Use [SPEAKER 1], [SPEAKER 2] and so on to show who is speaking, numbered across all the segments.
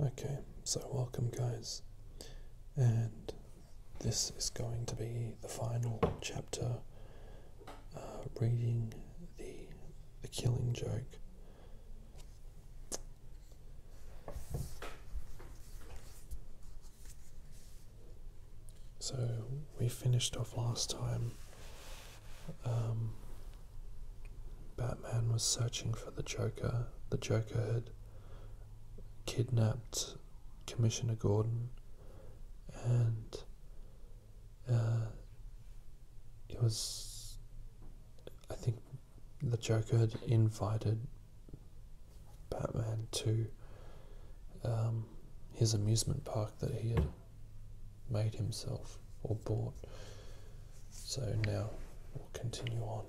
[SPEAKER 1] Okay, so welcome guys, and this is going to be the final chapter uh, reading the, killing joke. So we finished off last time um, Batman was searching for the Joker. The Joker had kidnapped Commissioner Gordon, and uh, it was. I think the Joker had invited Batman to um, his amusement park that he had made himself or bought. So now we'll continue on.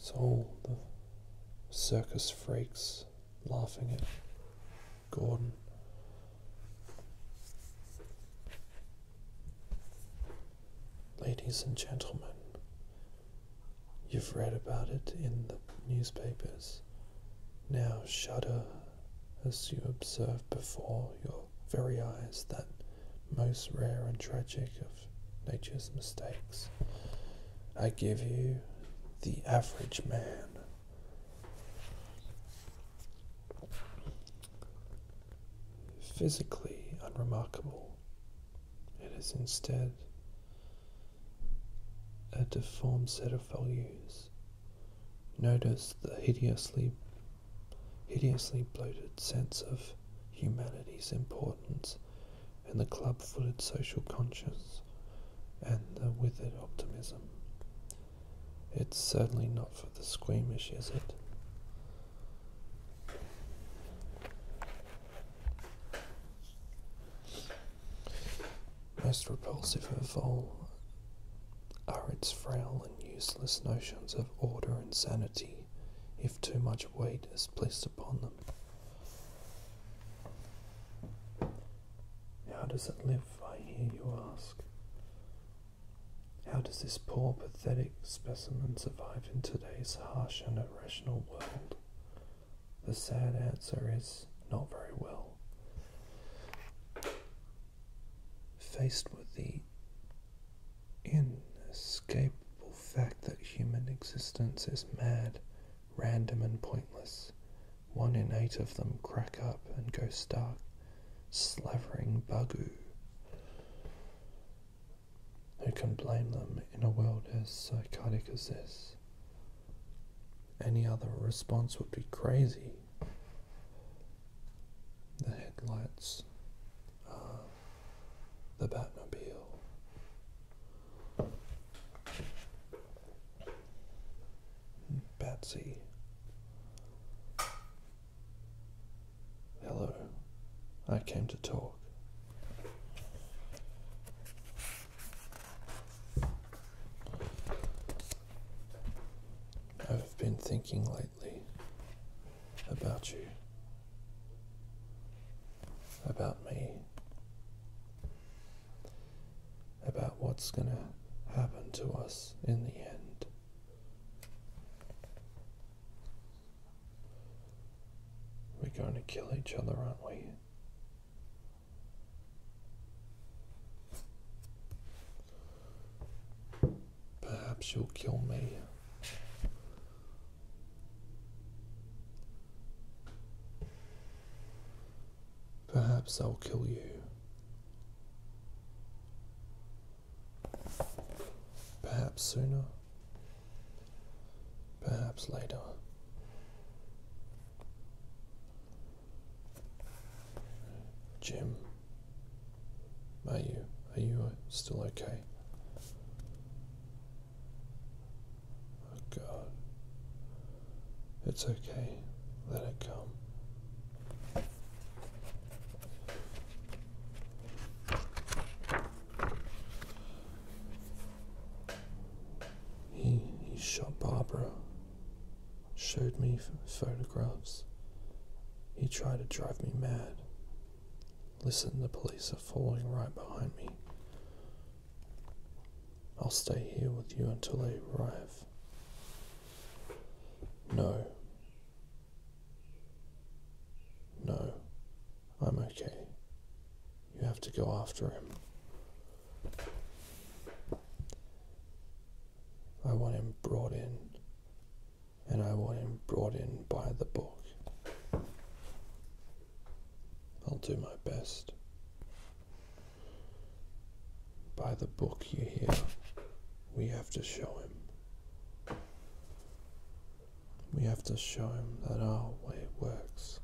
[SPEAKER 1] So all the circus freaks laughing at Gordon. Ladies and gentlemen, you've read about it in the newspapers. Now shudder as you observed before your very eyes that most rare and tragic of nature's mistakes. I give you the average man. Physically unremarkable, it is instead a deformed set of values Notice the hideously, hideously bloated sense of humanity's importance and the club-footed social conscience and the withered optimism. It's certainly not for the squeamish, is it? Most repulsive of all are its frail and useless notions of order and sanity, if too much weight is placed upon them. How does it live, I hear you ask? How does this poor, pathetic specimen survive in today's harsh and irrational world? The sad answer is not very well. Faced with the inescapable fact that human existence is mad, random, and pointless, one in eight of them crack up and go stark, slavering bugoo. Who can blame them in a world as psychotic as this? Any other response would be crazy the headlights, uh, the Batmobile. Patsy. Hello. I came to talk. I've been thinking lately about you, about me, about what's going to happen to us in the end. We're going to kill each other, aren't we? Perhaps you'll kill me. Perhaps I'll kill you. Perhaps sooner. Perhaps later. Jim, are you? Are you uh, still okay? Oh God, it's okay. Let it come. He he shot Barbara showed me photographs. He tried to drive me mad. Listen, the police are following right behind me. I'll stay here with you until they arrive. No. No, I'm okay. You have to go after him. I want him brought in, and I want him brought in by the book. I'll do my best. By the book you hear, we have to show him. We have to show him that our way works.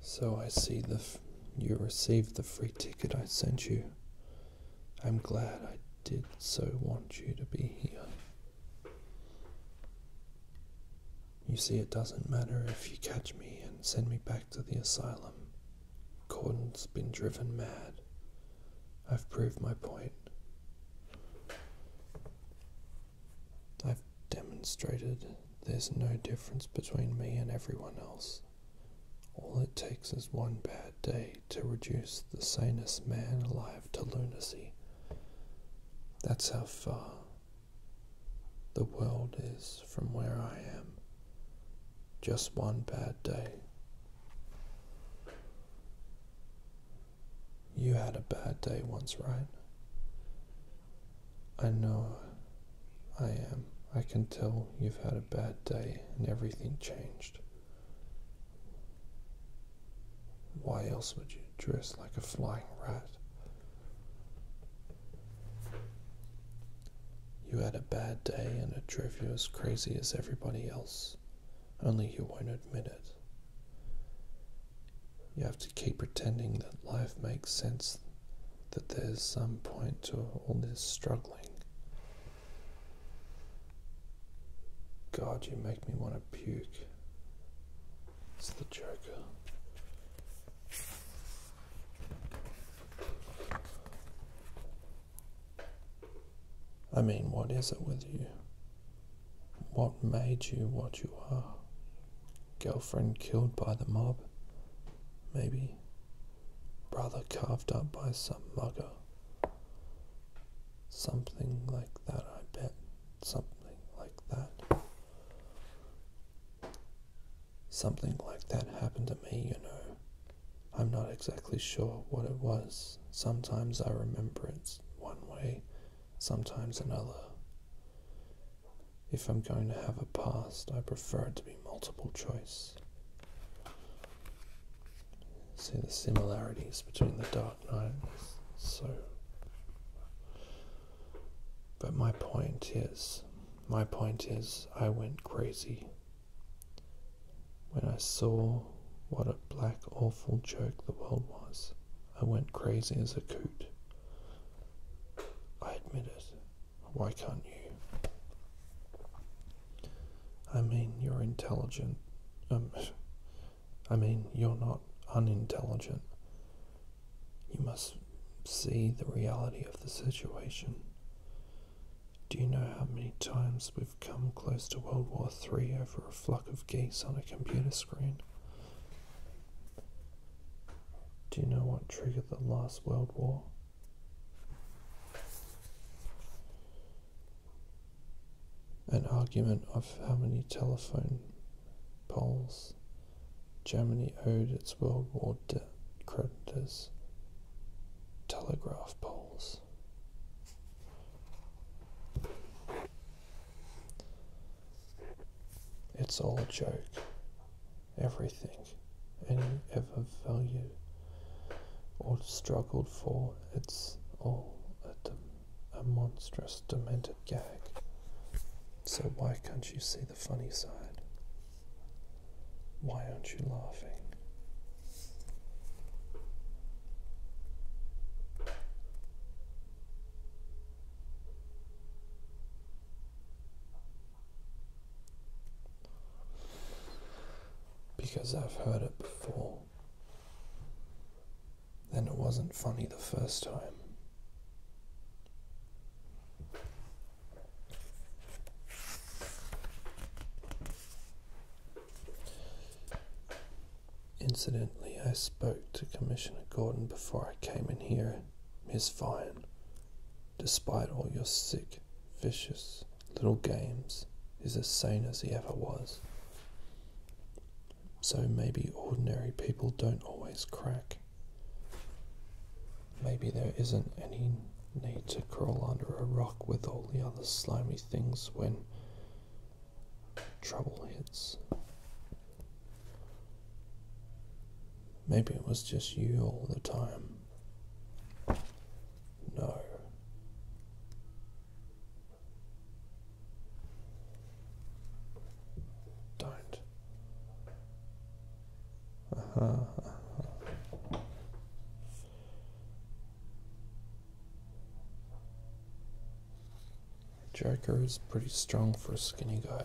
[SPEAKER 1] So I see the you received the free ticket I sent you. I'm glad I did so want you to be here. You see, it doesn't matter if you catch me and send me back to the asylum. Gordon's been driven mad. I've proved my point. I've demonstrated there's no difference between me and everyone else. All it takes is one bad day to reduce the sanest man alive to lunacy. That's how far the world is from where I am. Just one bad day. You had a bad day once, right? I know I am. I can tell you've had a bad day and everything changed. Why else would you dress like a flying rat? You had a bad day and it drove you as crazy as everybody else, only you won't admit it. You have to keep pretending that life makes sense, that there's some point to all this struggling. God, you make me want to puke. It's the Joker. I mean, what is it with you? What made you what you are? Girlfriend killed by the mob? Maybe. Brother carved up by some mugger. Something like that, I bet. Something like that. Something like that happened to me, you know. I'm not exactly sure what it was. Sometimes I remember it one way, sometimes another. If I'm going to have a past, I prefer it to be multiple choice. See the similarities between the Dark nights. So, but my point is, my point is, I went crazy when I saw what a black, awful joke the world was, I went crazy as a coot. I admit it. Why can't you? I mean, you're intelligent. Um, I mean, you're not unintelligent. You must see the reality of the situation. Do you know how many times we've come close to World War III over a flock of geese on a computer screen? Do you know what triggered the last World War? An argument of how many telephone poles Germany owed its World War debt later as telegraph poles. It's all a joke. Everything any ever value or struggled for, it's all a monstrous, demented gag. So why can't you see the funny side? Why aren't you laughing? Because I've heard it before. Then it wasn't funny the first time. Incidentally, I spoke to Commissioner Gordon before I came in here. Miss Vine, despite all your sick, vicious little games, is as sane as he ever was. So maybe ordinary people don't always crack. Maybe there isn't any need to crawl under a rock with all the other slimy things when trouble hits. Maybe it was just you all the time. No. Don't. Jagger is pretty strong for a skinny guy.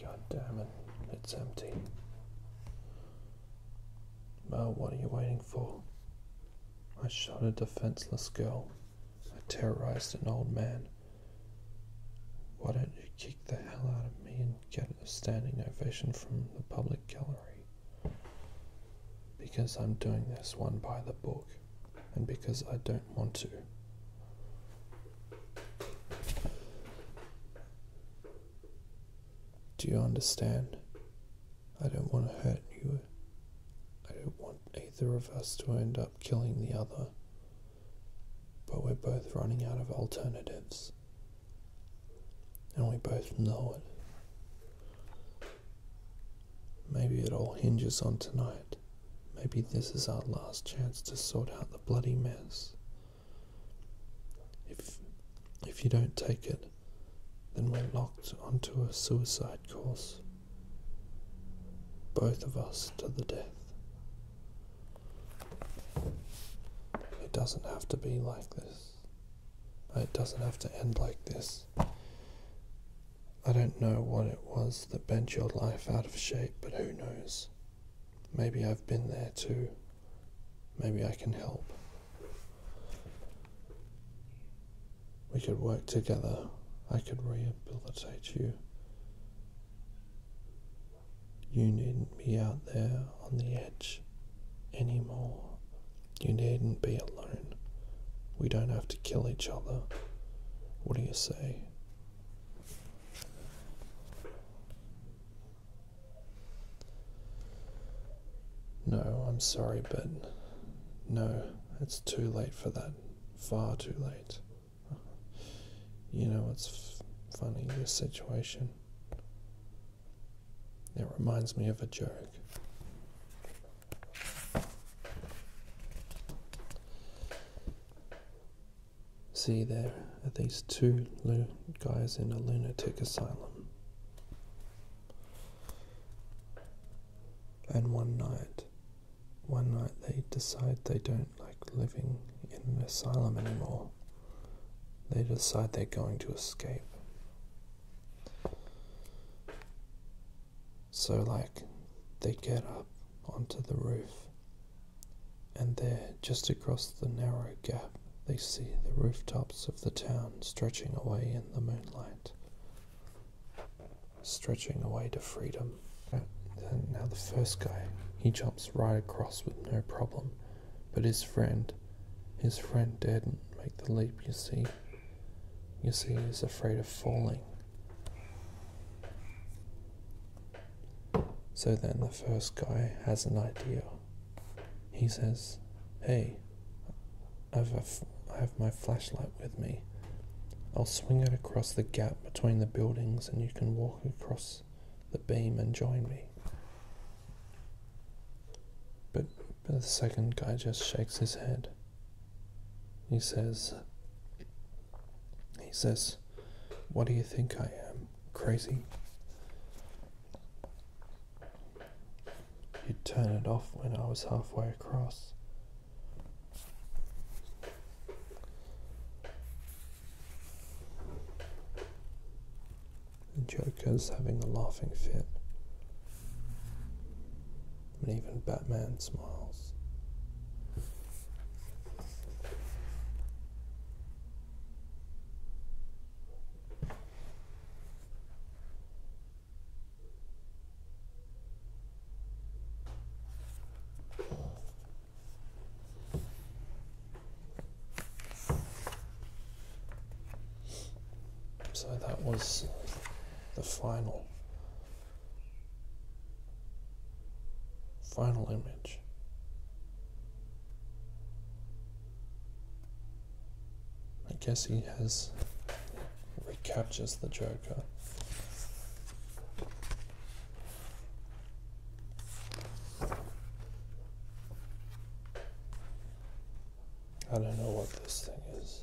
[SPEAKER 1] God damn it, it's empty. Well, what are you waiting for? I shot a defenseless girl. I terrorized an old man. Why don't you kick the hell out of me and get a standing ovation from the public gallery? Because I'm doing this one by the book, and because I don't want to. Do you understand? I don't want to hurt you. I don't want either of us to end up killing the other. But we're both running out of alternatives. And we both know it. Maybe it all hinges on tonight. Maybe this is our last chance to sort out the bloody mess. If, if you don't take it, then we're locked onto a suicide course, both of us to the death. It doesn't have to be like this. It doesn't have to end like this. I don't know what it was that bent your life out of shape, but who knows? Maybe I've been there too. Maybe I can help. We could work together. I could rehabilitate you. You needn't be out there on the edge anymore. You needn't be alone. We don't have to kill each other. What do you say? No, I'm sorry, but no, it's too late for that. Far too late. You know, it's funny, This situation. It reminds me of a joke. See, there are these two guys in a lunatic asylum. And one night, one night they decide they don't like living in an asylum anymore. They decide they're going to escape. So, like, they get up onto the roof and there, just across the narrow gap, they see the rooftops of the town stretching away in the moonlight, stretching away to freedom. And now, the first guy, he jumps right across with no problem, but his friend, his friend didn't make the leap, you see. You see, he's afraid of falling, so then the first guy has an idea. He says, Hey, I've f- i have my flashlight with me. I'll swing it across the gap between the buildings and you can walk across the beam and join me. but the second guy just shakes his head. He says, he says, What do you think I am? Crazy? you turn it off when I was halfway across. The Joker's having a laughing fit. And even Batman smiles. So that was the final Final image. I guess he has recaptures the Joker. I don't know what this thing is.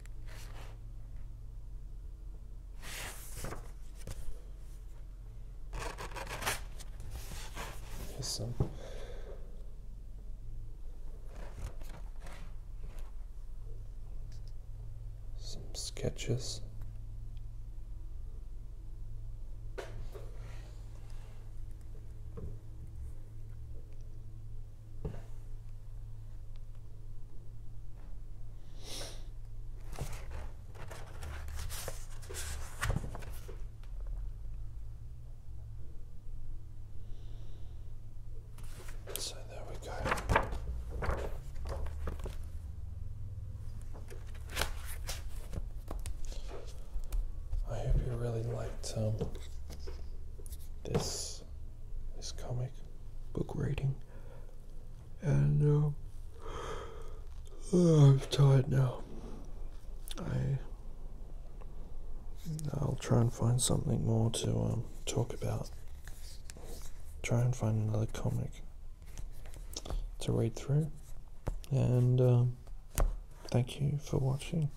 [SPEAKER 1] some. Some sketches. So there we go. I hope you really liked um, this this comic book reading, and um, I'm tired now. I I'll try and find something more to um, talk about. Try and find another comic to read through, and um, thank you for watching.